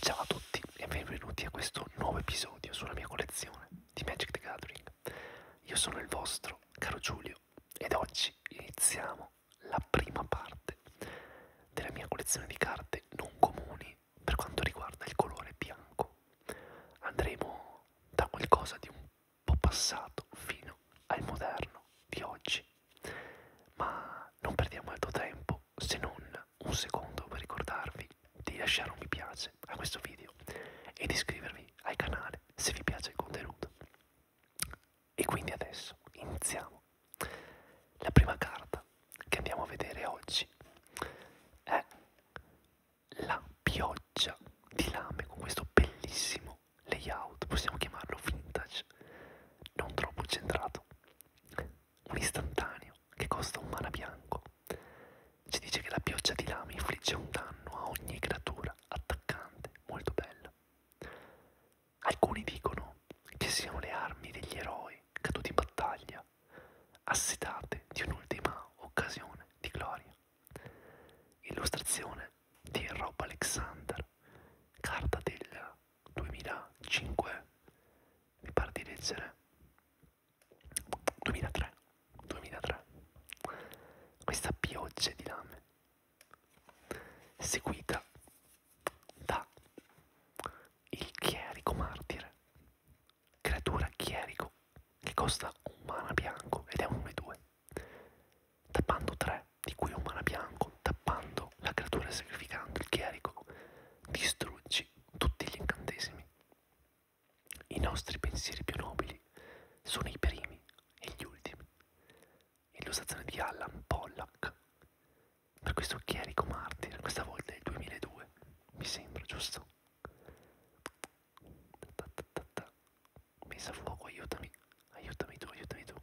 Ciao a tutti e benvenuti a questo nuovo episodio sulla mia collezione di Magic the Gathering. Io sono il vostro caro Giulio ed oggi iniziamo la prima parte della mia collezione di carte non comuni per quanto riguarda il colore bianco. Andremo da qualcosa di un po' passato fino al moderno di oggi, ma non perdiamo altro tempo se non un secondo per ricordarvi di lasciare un mi piace a questo video e di iscrivervi al canale se vi piace il contenuto. E quindi adesso iniziamo. La prima carta che andiamo a vedere oggi è la pioggia di lame con questo bellissimo layout, possiamo chiamarlo vintage, non troppo centrato un istantaneo che costa un mana bianco. Ci dice che la pioggia di lama infligge un danno a ogni creatura attaccante, molto bella. Alcuni dicono che siano le armi degli eroi caduti in battaglia, assetate di un'ultima occasione di gloria. Illustrazione di Rob Alexander, carta del 2005 mi pare di leggere 2003 2003 questa pioggia di lame seguita da il chierico martire creatura chierico che costa un mana bianco ed è un 1-2 tappando 3 di cui un mana bianco tappando la creatura sacrificando il chierico distruggi tutti gli incantesimi. I nostri pensieri più nobili sono i primi e gli ultimi. Illustrazione di Allan Pollack. Per questo chierico martire, questa volta è il 2002, mi sembra, giusto? Messa a fuoco, aiutami, aiutami tu, aiutami tu.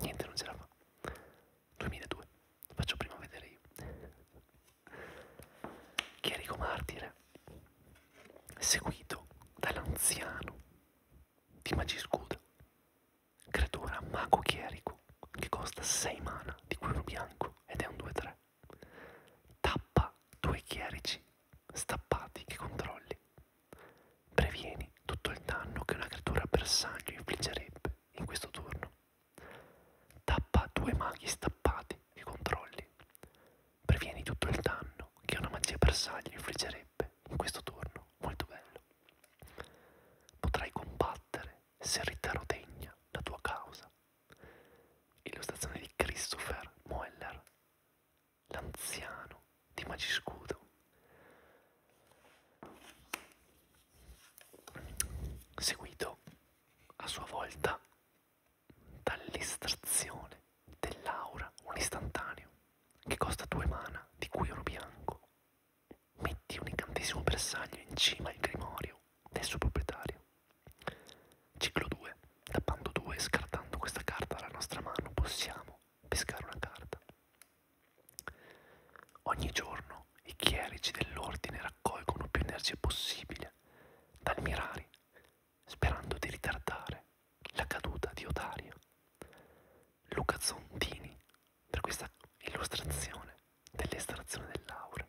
Niente, non ce la fa. 2002, lo faccio prima vedere io. Chierico martire, seguito dall'anziano di Magiscuda, creatura mago chierico che costa 6 mana di quello bianco ed è un 2-3. Tappa due chierici stappati che controlli. Previeni tutto il danno che una creatura bersaglio infliggerebbe in questo turno Tappa due maghi stappati e controlli. Previeni tutto il danno che una magia bersaglio infliggerebbe in questo turno molto bello. Potrai combattere se Rittaro degna la tua causa. Illustrazione di Christopher Moeller, l'anziano di Magiscudo seguito a sua volta dall'estrazione dell'aura, un istantaneo che costa due mana di cui oro bianco. Metti un incantesimo bersaglio in cima al grimorio del suo proprietario. Ciclo 2. Tappando 2 e scartando questa carta dalla nostra mano possiamo pescare una carta. Ogni giorno i chierici dell'ordine raccolgono più energia possibile dal mirari, sperando di ritardare la caduta di Odario. Luca Zontini per questa illustrazione dell'estrazione dell'aura.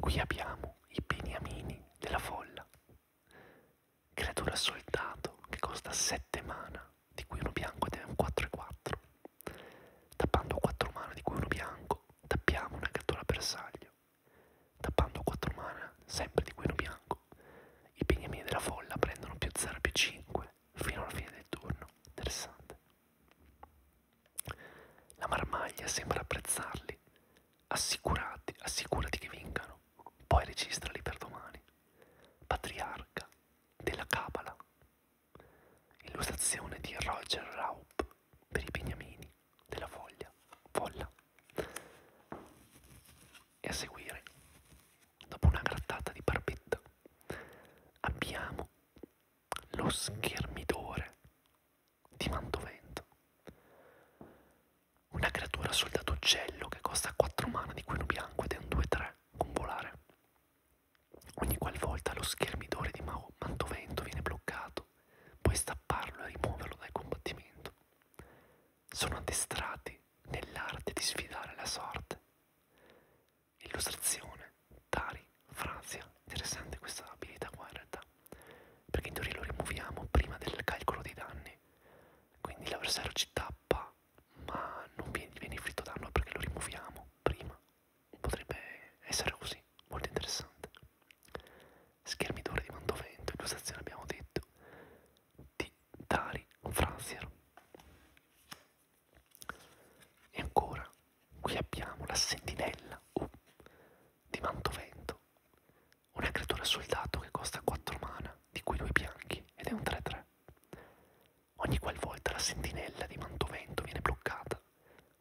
Qui abbiamo i beniamini della folla creatura soldato che costa 7 mana, di cui uno bianco ed è un 4 e 4. Tappando 4 mana, di cui uno bianco, tappiamo una creatura bersaglio. Tappando 4 mana, sempre di cui uno bianco, i beniamini della folla prendono più 0 più 5 fino alla fine del turno. Interessante. La marmaglia sembra apprezzarli. Assicurati, assicurati che vengano, poi registrali per domani patriarca della Kabbalah. Illustrazione di Roger Raup per i beniamini della foglia, folla. E a seguire, dopo una grattata di barbetta, abbiamo lo schermidore di Mantovento. Una creatura soldato uccello che costa 4 mana di cui non bianco sangue di un 2-3 con volare. Ogni qualvolta lo schermidore di Mantovento viene bloccato, puoi stapparlo e rimuoverlo dal combattimento. Sono addestrati nell'arte di sfidare la sorte. Illustrazione, Tari, Franzia. Interessante questa abilità qua in realtà, perché in teoria lo rimuoviamo prima del calcolo dei danni, quindi l'avversario ci tappa ma non viene inflitto danno perché lo rimuoviamo prima. Potrebbe essere così, molto interessante. Schermi d'ore di Mantovento, illustrazione abbiamo detto, di Dari Frazier. E ancora, qui abbiamo la sentinella oh, di Mantovento, una creatura soldato che costa 4 mana, di cui 2 bianchi, ed è un 3-3. Ogni qualvolta la sentinella di Mantovento viene bloccata,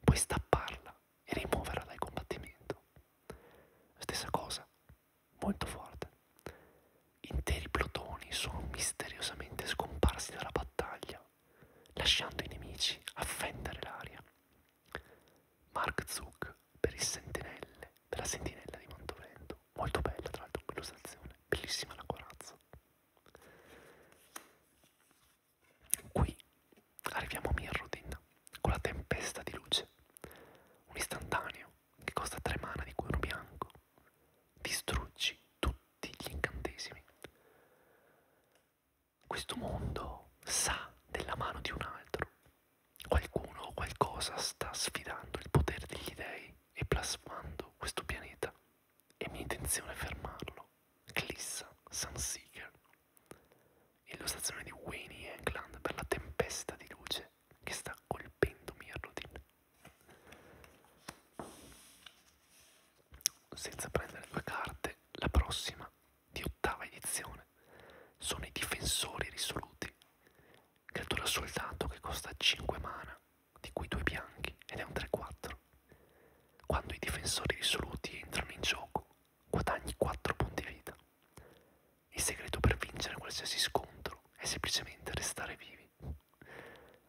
puoi stapparla e rimuoverla dal combattimento. Stessa cosa, molto forte. Interi plotoni sono misteriosamente scomparsi dalla battaglia, lasciando i nemici a fendere l'aria. Mark Zuck per il sentinelle della sentinella di Mantovento, molto bella tra l'altro quell'usazione, bellissima la corazza. Qui arriviamo a Mirrodin con la tempesta di luce, un istantaneo che costa 3 mana di cui uno bianco, distruggi tutti gli incantesimi. Questo mondo sa della mano di un altro. Qualcuno o qualcosa sta sfidando il potere degli dei e plasmando questo pianeta. È mia intenzione fermarlo. Clissa Sunseeker. Illustrazione di Wayne England per la tempesta di luce che sta colpendo Mirrodin. Senza prendere due carte, la prossima di ottava edizione sono i difensori risoluti creatura soltanto che costa 5 mana, di cui 2 bianchi, ed è un 3-4. Quando i difensori risoluti entrano in gioco, guadagni 4 punti vita. Il segreto per vincere qualsiasi scontro è semplicemente restare vivi.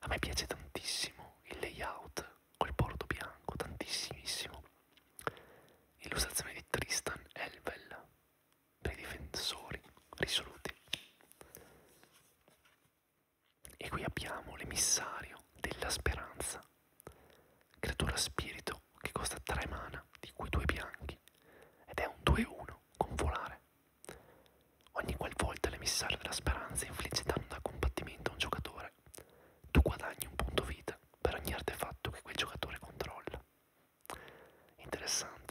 A me piace tantissimo il layout col bordo bianco, tantissimissimo. L'illustrazione di Tristan Elvel per i difensori risoluti. E qui abbiamo l'emissario della speranza, creatura spirito che costa 3 mana, di cui 2 bianchi, ed è un 2-1 con volare. Ogni qualvolta l'emissario della speranza infligge danno da combattimento a un giocatore, tu guadagni un punto vita per ogni artefatto che quel giocatore controlla. Interessante.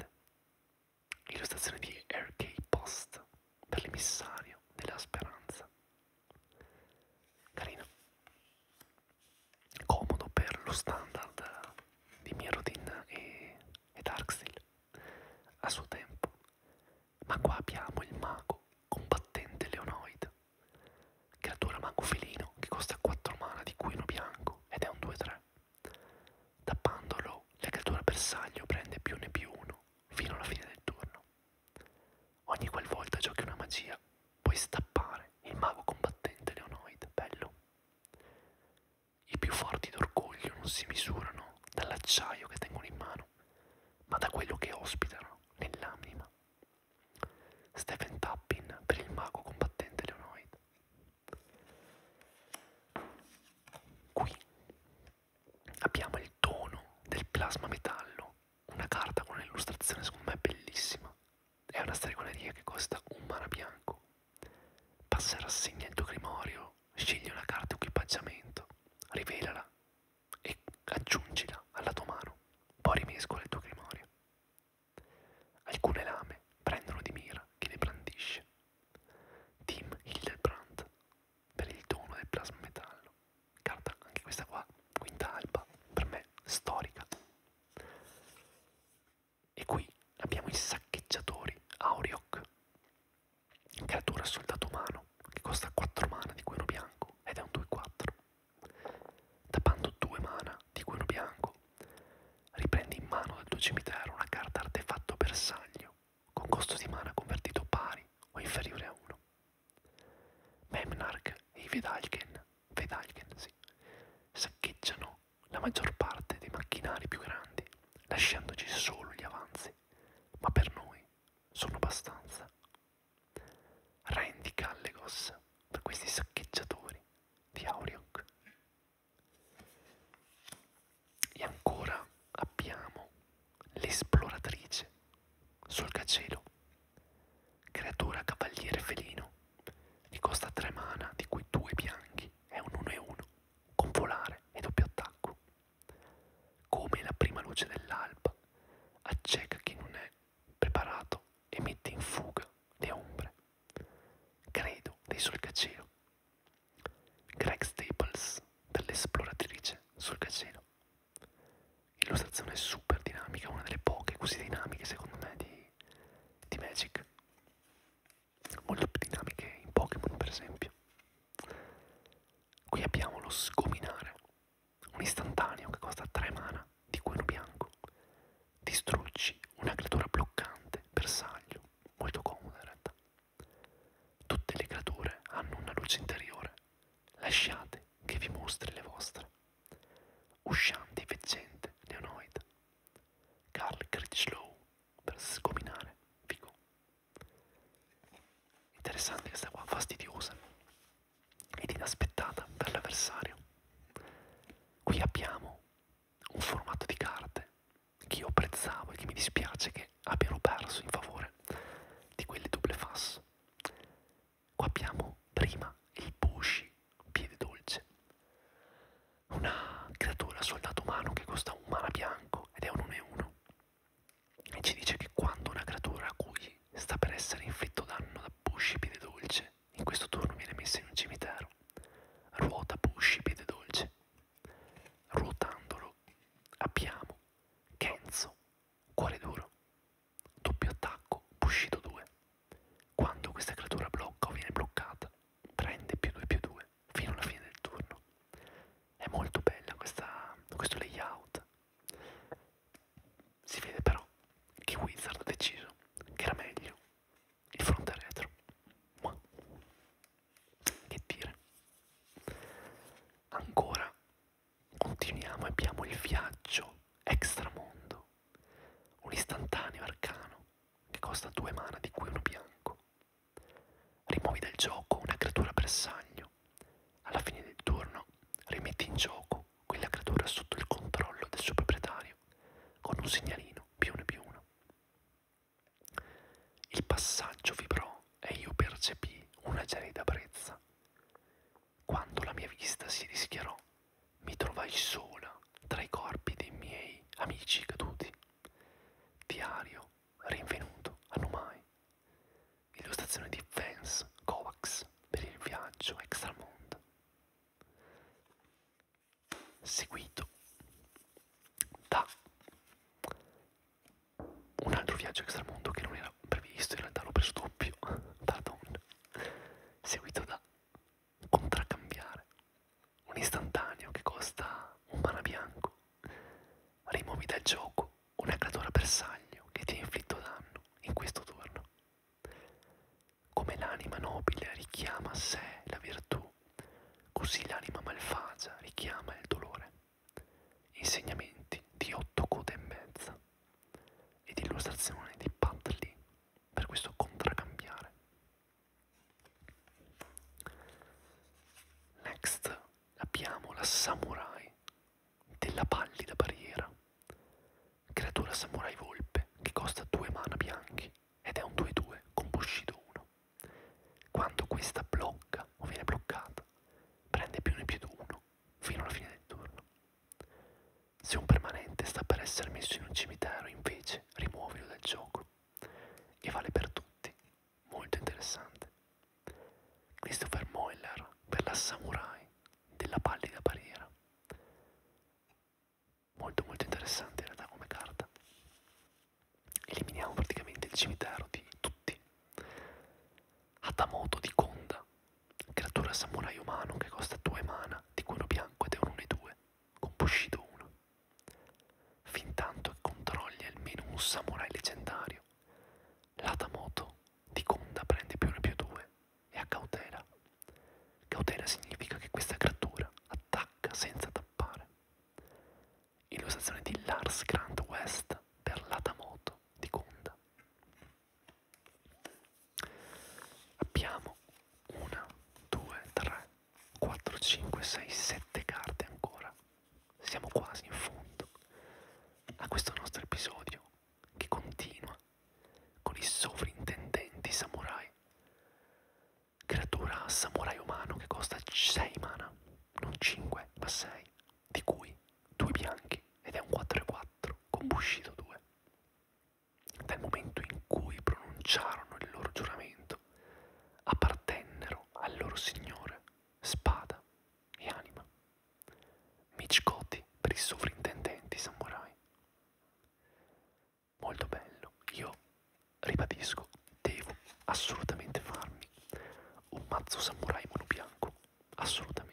Illustrazione di R.K. Post per l'emissario della speranza. Carino. Comodo per lo standard di Mirrodin e, e Darksteel a suo tempo. Ma qua abbiamo il mago combattente Leonoid, creatura mago felino che costa 4 mana di cuino bianco ed è un 2-3. Tappandolo, la creatura bersaglio prende più ne più uno fino alla fine del turno. Ogni qualvolta giochi una magia, puoi stappare il mago combattente Leonoid, bello. I più forti d'orgoglio non si misurano dall'acciaio che tengono in mano, ma da quello che ospitano nell'anima. Stephen Tappin per il mago combattente Leonoid. Qui abbiamo il tono del plasma metallo, una carta con un'illustrazione secondo me bellissima. È una stregoneria che costa un mana bianco. Passa rassegna il tuo grimorio, scegli una carta equipaggiamento, rivelala e aggiungila alla tua mano, poi rimescola il tuo grimorio. Alcune lame prendono di mira chi le brandisce. Team Hildebrandt per il dono del plasma metallo. Carta anche questa qua, quinta alba, per me storica. E qui abbiamo i saccheggiatori Auriok, creatura soldato umano che costa 4 mana di gueno bianco ed è un 2-4. Tappando 2 mana di gueno bianco, riprendi in mano dal tuo cimitero una carta artefatto bersaglio con costo di mana convertito pari o inferiore a 1. Memnarch e i Vedalken, Vedalken sì, saccheggiano la maggior parte dei macchinari più grandi, lasciandoci solo gli avanzi, ma per noi sono abbastanza. Rendi Callegos per questi saccheggiatori di Auriok e ancora abbiamo l'esploratrice, solcacielo, creatura cavaliere felino, di costa 3 mana, di cui 2 bianchi, è un 1 e 1, con volare e doppio attacco. Come la prima luce dell'alba, acceca chi non è preparato e mette in fuga le ombre. Credo dei solcacielo. Greg Staples dell'esploratrice sul gacero. Illustrazione super dinamica, una delle poche così dinamiche secondo me di, di Magic. Molto più dinamiche in Pokémon per esempio. Qui abbiamo lo sgominare, un istantaneo che costa 3 mana di cuoio bianco. Distruggi una creatura bloccante bersaglio, molto comoda in realtà. Tutte le creature hanno una luce interiore, lasciate che vi mostri le vostre. Usciante e veggente, Leonoid. Carl Critchlow per sgominare Vigo. Interessante questa qua, fastidiosa ed inaspettata per l'avversario. Qui abbiamo un formato di carte che io apprezzavo e che mi dispiace che abbiano perso in favore di quelli double face. Qua abbiamo prima il Bushi, piede dolce, una creatura soldato umano che costa un mana bianco ed è un 1-1 e ci dice che quando una creatura a cui sta per essere inflitto danno da Bushi, piede dolce, in questo turno viene messa in un cimitero, ruota Bushi, piede dolce ruotandolo abbiamo Kenzo, cuore duro, doppio attacco, Bushido 2. Quando questa creatura blocca o viene bloccata, prende più 2 più 2 fino alla fine del turno. È molto bella questa, questo layout. Si vede però che Wizard ha deciso che era meglio il fronte retro. Ma. Che dire? Ancora continuiamo e abbiamo il viaggio extramondo, un istantaneo arcano che costa due mana di cui uno bianco. Rimuovi dal gioco una creatura bersaglio. Alla fine del turno rimetti in gioco quella creatura sotto il controllo del suo proprietario con un segnalino più 1 più 1. Il passaggio vibrò e io percepii una gelida brezza. Quando la mia vista si rischiarò, mi trovai sola tra i corpi dei miei amici caduti. Diario rinvenuto a Numai. Illustrazione di Vance Kovacs per il viaggio extramondo. Seguito da un altro viaggio extramondo che non era previsto, in realtà l'ho preso doppio da Don, seguito da Contraccambiare, un istantaneo che costa un mana bianco, rimuovi dal gioco un aggradora bersaglio che ti ha inflitto danno in questo turno. Come l'anima nobile richiama a sé la virtù umano. Così l'anima malfagia richiama il dolore. Insegnamenti di otto code e mezza ed illustrazione di Pat Lee per questo contraccambiare. Next abbiamo la samurai della pallida barriera, creatura samurai volpe che costa due mana bianchi ed è un 2-2 con Bushido 1. Quando questa blocca o viene bloccata, prende più ne più di uno fino alla fine del turno. Se un permanente sta per essere messo in un cimitero, invece, rimuovilo dal gioco. E vale per tutti. Molto interessante. Christopher Moeller per la Samurai della pallida barriera. Molto molto interessante in realtà come carta eliminiamo praticamente il cimitero di tutti. Hatamoto di Konda, creatura samurai umano che costa 2 mana, di cui uno bianco ed è un 1-2, con Bushido 1. Fintanto che controlli almeno un samurai leggendario, l'Hatamoto di Konda prende più 1 più 2 e ha cautela. Cautela significa che questa creatura attacca senza tappare. Illustrazione di Lars Grant West per l'Atamoto di Conda. Abbiamo 1, 2, 3, 4, 5, 6, 7 carte ancora. Siamo quasi in fondo a questo nostro episodio che continua con i sovrintendenti samurai creatura samurai umano che costa 6 mana, non 5 ma 6, di cui 2 bianchi ed è un 4-4 con Bushido 2. Dal momento in cui pronunciarono il loro giuramento, appartennero al loro signore spada e anima. Michikoti per i sovrintendenti samurai. Molto bello, io ribadisco, devo assolutamente farmi un mazzo samurai mono bianco, assolutamente.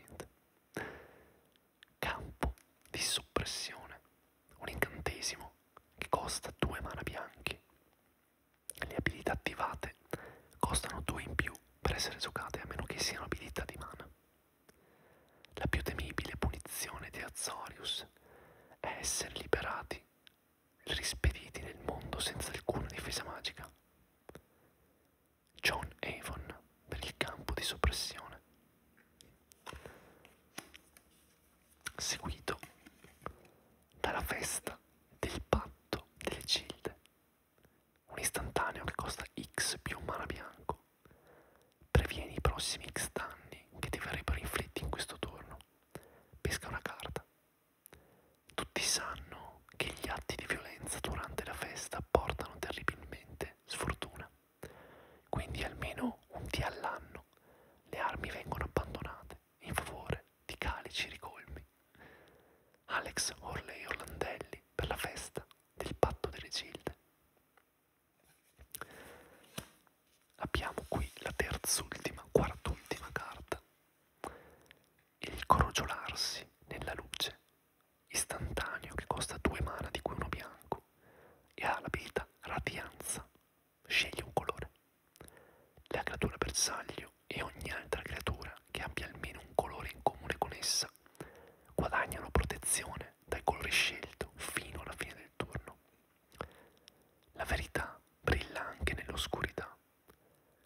Campo di soppressione, un incantesimo che costa due mana bianchi. Le abilità attivate costano due in più per essere giocate a meno che siano abilità di mana. La più temibile punizione di Azorius è essere liberati rispediti nel mondo senza alcuna difesa magica. John Avon per il campo di soppressione. Seguito dalla festa del patto delle cilde, un istantaneo che costa X più un mana bianco. Previeni i prossimi X danni che ti verrebbero inflitti in questo turno. Pesca una carta, tutti sanno che gli atti di violenza durante la festa portano terribilmente sfortuna, quindi almeno un dì all'anno le armi vengono abbandonate in favore di calici ricolmi. Alex Orley Orlandelli per la festa del patto delle gilde. Abbiamo qui la terz'ultima, quart'ultima carta il crogiolarsi nella luce istantaneo che costa due mana di cui uno bianco e ha l'abilità radianza sceglie un colore la creatura bersaglio e ogni altra creatura che abbia almeno un colore in comune con essa guadagnano protezione dal colore scelto fino alla fine del turno la verità brilla anche nell'oscurità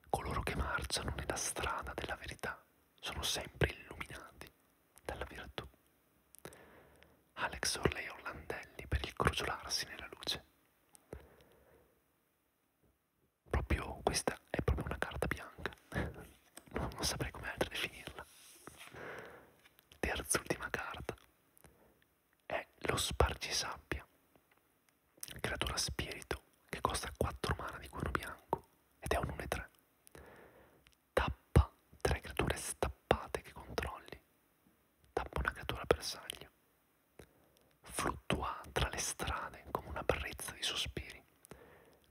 Coloro che marciano nella strada della verità sono sempre illuminati dalla virtù. Alex Orley Orlandelli per il crogiolarsi nella luce. Proprio questa è proprio una carta bianca, non, non saprei come altro definirla. Terz'ultima carta, è lo spargisabbia, creatura spirito che costa 4 mana di cuono bianco ed è un 1-3. Tappa 3 creature stappate che controlli, tappa una creatura bersaglio. Fluttua tra le strade come una brezza di sospiri,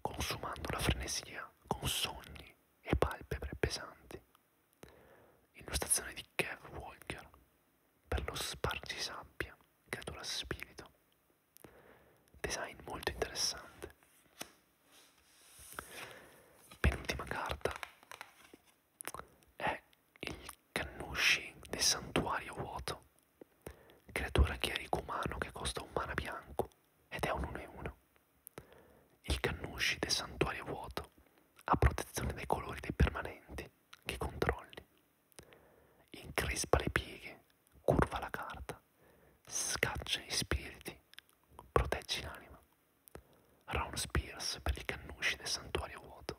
consumando la frenesia con sogni e palpebre pesanti. Illustrazione di Kev Walker per lo spargisabbia creatura spirito design molto interessante penultima carta è il Kannushi del santuario vuoto creatura chierico umano che costa un mana bianco ed è un 1 e 1 il Kannushi del santuario vuoto ha protezione dai colori dei permanenti che controlli Increspa le pieghe, curva la carta, scaccia gli spiriti, proteggi l'anima. Round Spears per i cannusci del santuario vuoto.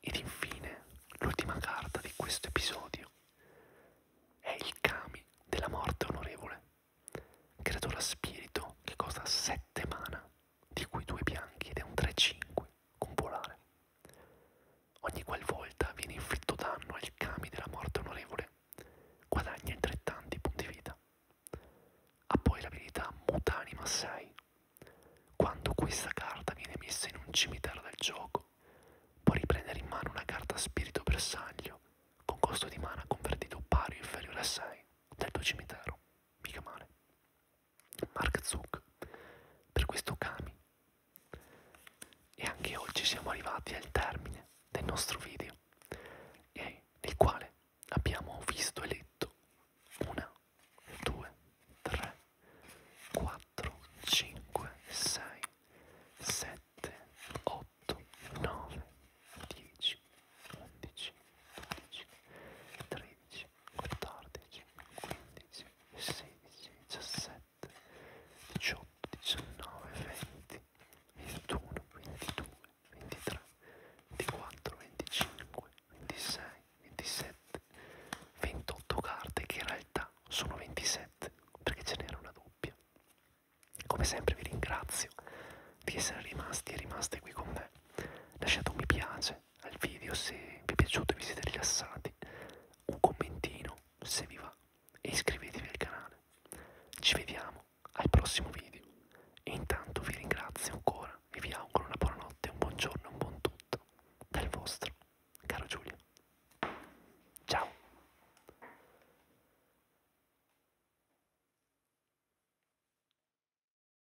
Ed infine, l'ultima carta di questo episodio è il Kami della morte onorevole, creatura spirito che costa 7 mana di cui due bianchi ed è un 3-5 con polare. Ogni qualvolta viene inflitto danno agli cami della morte onorevole, guadagna altrettanti punti vita. Ha poi l'abilità Mutanima 6. Quando questa carta viene messa in un cimitero del gioco, può riprendere in mano una carta spirito bersaglio con costo di mana convertito pari o inferiore a 6 del tuo cimitero. Mica male. Mark Zuck per questo Kami. E anche oggi siamo arrivati al termine del nostro video, nel quale abbiamo visto e letto una, due, tre, quattro, cinque, sei, sette, otto, nove, dieci, undici, dodici, tredici, 14, 15, 16, 17, 18, 19, 20, 21, 22, 23, 24, 25, 26, 27, 28 carte che in realtà sono 27 perché ce n'era una doppia. Come sempre vi ringrazio di essere rimasti e rimaste qui con me. Lasciate un mi piace al video se vi è piaciuto e vi siete rilassati, un commentino se vi va e iscrivetevi al canale. Ci vediamo al prossimo video e intanto vi ringrazio ancora e vi auguro una buona notte, un buongiorno, un buon tutto dal vostro caro Giulio. Ciao!